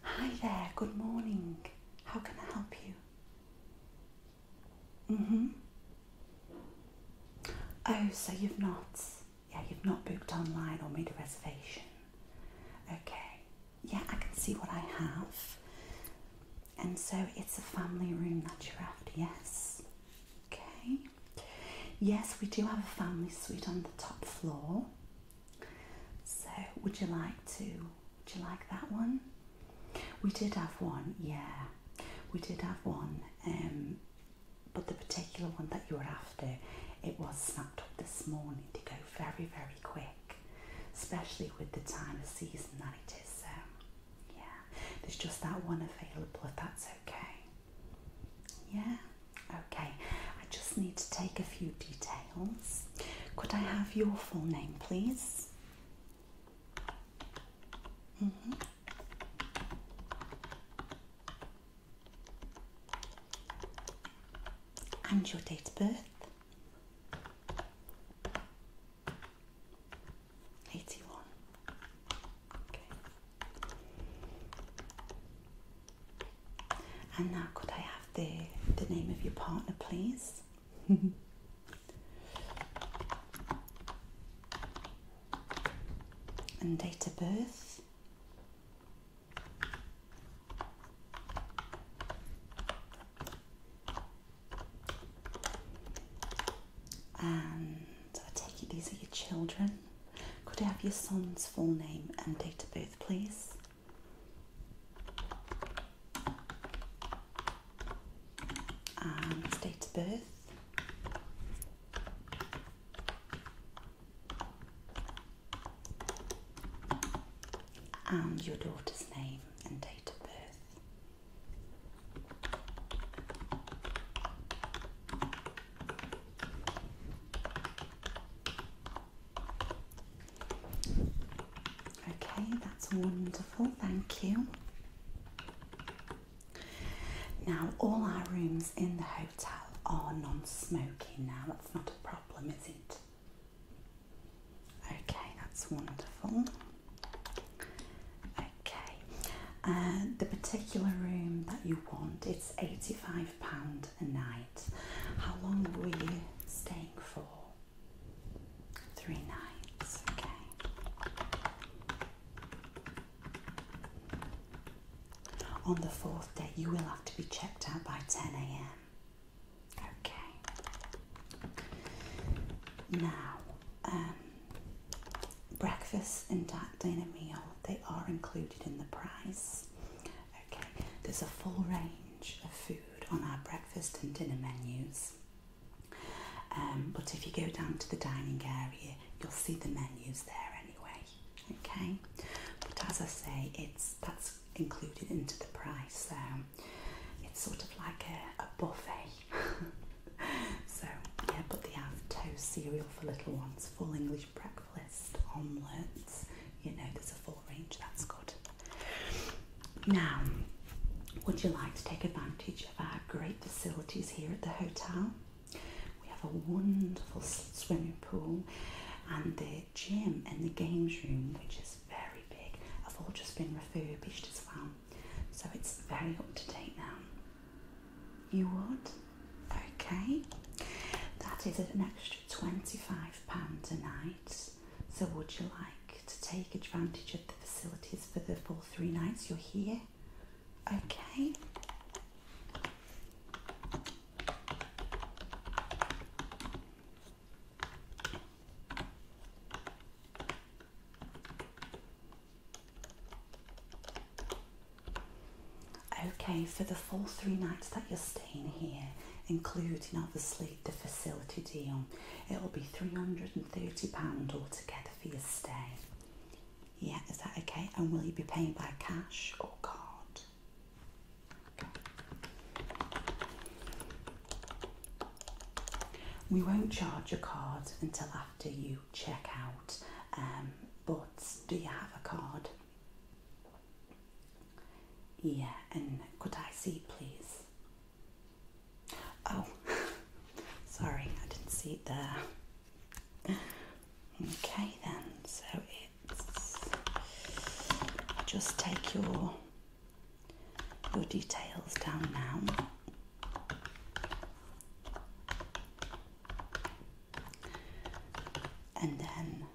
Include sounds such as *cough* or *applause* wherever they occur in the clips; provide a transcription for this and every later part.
Hi there, good morning. How can I help you? Mm hmm. Oh, so you've not, yeah, you've not booked online or made a reservation. Okay, yeah, I can see what I have. And so it's a family room that you're after, yes? Okay. Yes, we do have a family suite on the top floor. So, would you like to? Would you like that one? We did have one, yeah. We did have one, um, but the particular one that you were after, it was snapped up this morning to go very, very quick, especially with the time of season that it is. So. Yeah, there's just that one available if that's okay. Yeah, okay. I just need to take a few details. Could I have your full name, please? Mm-hmm. And your date of birth? 81. Okay. And now could I have the the name of your partner please? *laughs* and date of birth. And um, I take it these are your children. Could I have your son's full name and date of birth, please? And date of birth. And your daughter's name and date of birth. Okay, that's wonderful, thank you. Now, all our rooms in the hotel are non smoking now, that's not a problem, is it? Okay, that's wonderful. Okay, uh, the particular room that you want, it's £85 a night. How long are we staying for? Three nights, okay. On the fourth day, you will have to be checked out by 10 a.m. Okay. Now, um, breakfast and dinner meal, they are included in the price. Okay, there's a full range of food on our breakfast and dinner menus. Um, but if you go down to the dining area, you'll see the menus there anyway. Okay, but as I say, it's that's included into the price, so um, it's sort of like a buffet. *laughs* *laughs* so, yeah, but they have toast cereal for little ones, full English breakfast, omelettes. You know, there's a full range, that's good. Now, would you like to take advantage of our great facilities here at the hotel? We have a wonderful swimming pool and the gym and the games room, which is very big, have all just been refurbished as well. So it's very up to date now. You would? Okay. That is an extra £25 a night. So would you like to take advantage of the facilities for the full three nights you're here? Okay. Okay, for the full three nights that you're staying here, including obviously the facility deal, it'll be £330 altogether for your stay. Yeah, is that okay? And will you be paying by cash or card? We won't charge your card until after you check out, um, but do you have a card? Yeah, and could I see please? Oh, *laughs* sorry, I didn't see it there. Okay, then, so it's I'll just take your your details down now. And then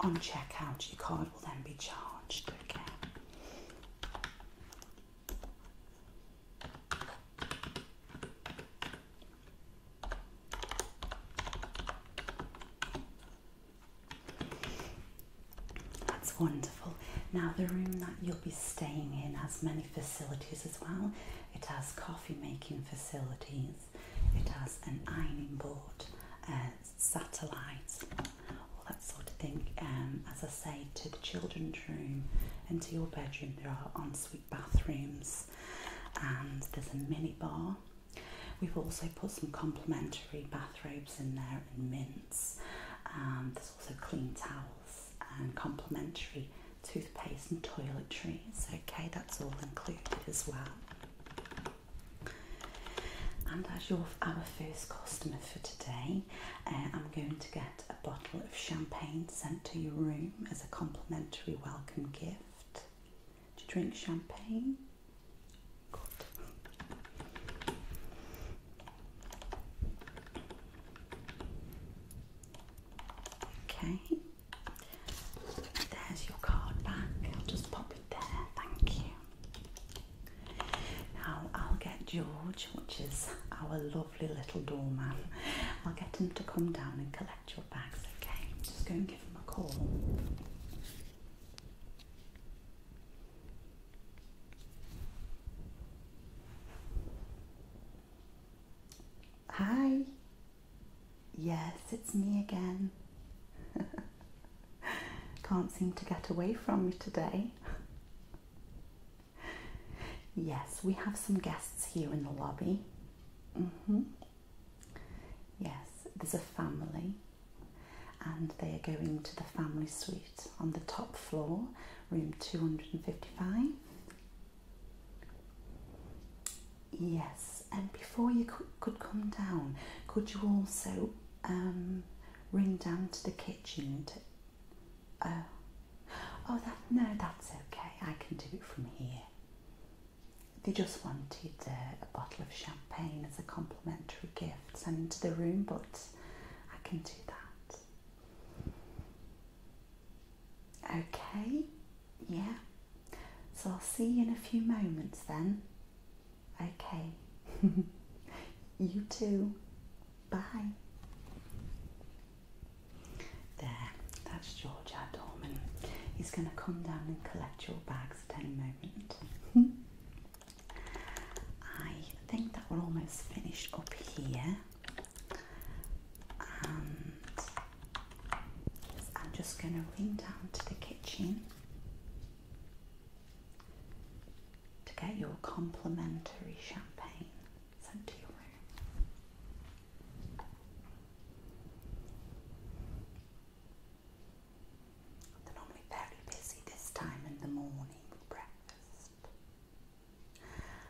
on checkout, your card will then be charged. Okay. That's wonderful. Now, the room that you'll be staying in has many facilities as well. It has coffee making facilities, it has an ironing board, uh, satellites, all that sort of thing. Um, as I say, to the children's room and to your bedroom, there are ensuite bathrooms and there's a minibar. We've also put some complimentary bathrobes in there and mints also clean towels and complimentary toothpaste and toiletries. Okay, that's all included as well. And as your our first customer for today, uh, I'm going to get a bottle of champagne sent to your room as a complimentary welcome gift. To drink champagne? Okay. There's your card back. I'll just pop it there. Thank you. Now I'll get George, which is our lovely little doorman. I'll get him to come down and collect your bags. Okay. Just go and give him a call. Hi. Yes, it's me again. *laughs* Can't seem to get away from you today. *laughs* yes, we have some guests here in the lobby. Mm -hmm. Yes, there's a family and they're going to the family suite on the top floor, room 255. Yes, and before you could come down, could you also um, ring down to the kitchen? To, uh, oh, no, that's okay. I can do it from here. They just wanted uh, a bottle of champagne as a complimentary gift, sent into the room, but I can do that. Okay, yeah. So I'll see you in a few moments then. Okay. *laughs* you too. Bye. There, that's George Adorman. He's going to come down and collect your bags at any moment. *laughs* I think that we're almost finished up here, and I'm just going to run down to the kitchen to get your complimentary champagne sent to your room. They're normally very busy this time in the morning breakfast.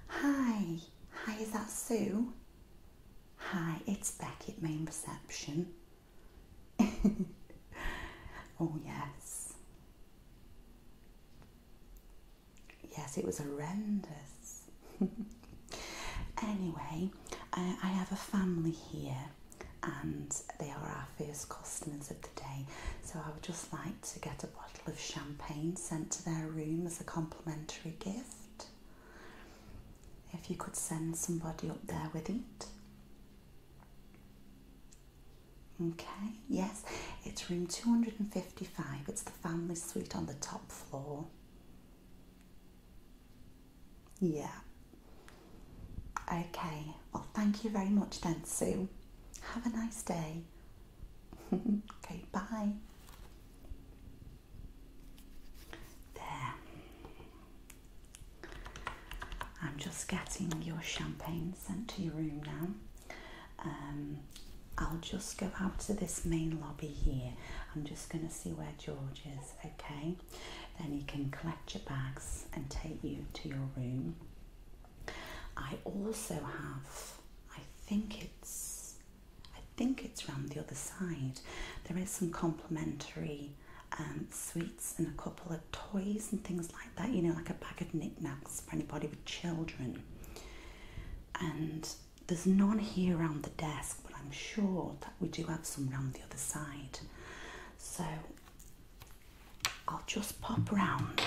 Hi, hi, is that Sue? Hi, it's Becky, at main reception. *laughs* oh, yes. Yes, it was horrendous. *laughs* anyway, I have a family here and they are our first customers of the day. So I would just like to get a bottle of champagne sent to their room as a complimentary gift. If you could send somebody up there with it. Okay, yes, it's room 255. It's the family suite on the top floor. Yeah. Okay, well, thank you very much then, Sue. Have a nice day. *laughs* okay, bye. There. I'm just getting your champagne sent to your room now. Um, I'll just go out to this main lobby here. I'm just going to see where George is, okay? Then he can collect your bags and take you to your room. I also have, I think it's, I think it's round the other side. There is some complimentary um, sweets and a couple of toys and things like that. You know, like a bag of knickknacks for anybody with children. And there's none here around the desk, but I'm sure that we do have some round the other side. So I'll just pop round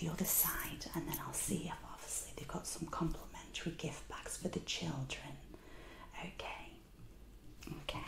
the other side and then I'll see if obviously they've got some complimentary gift bags for the children. Okay. Okay.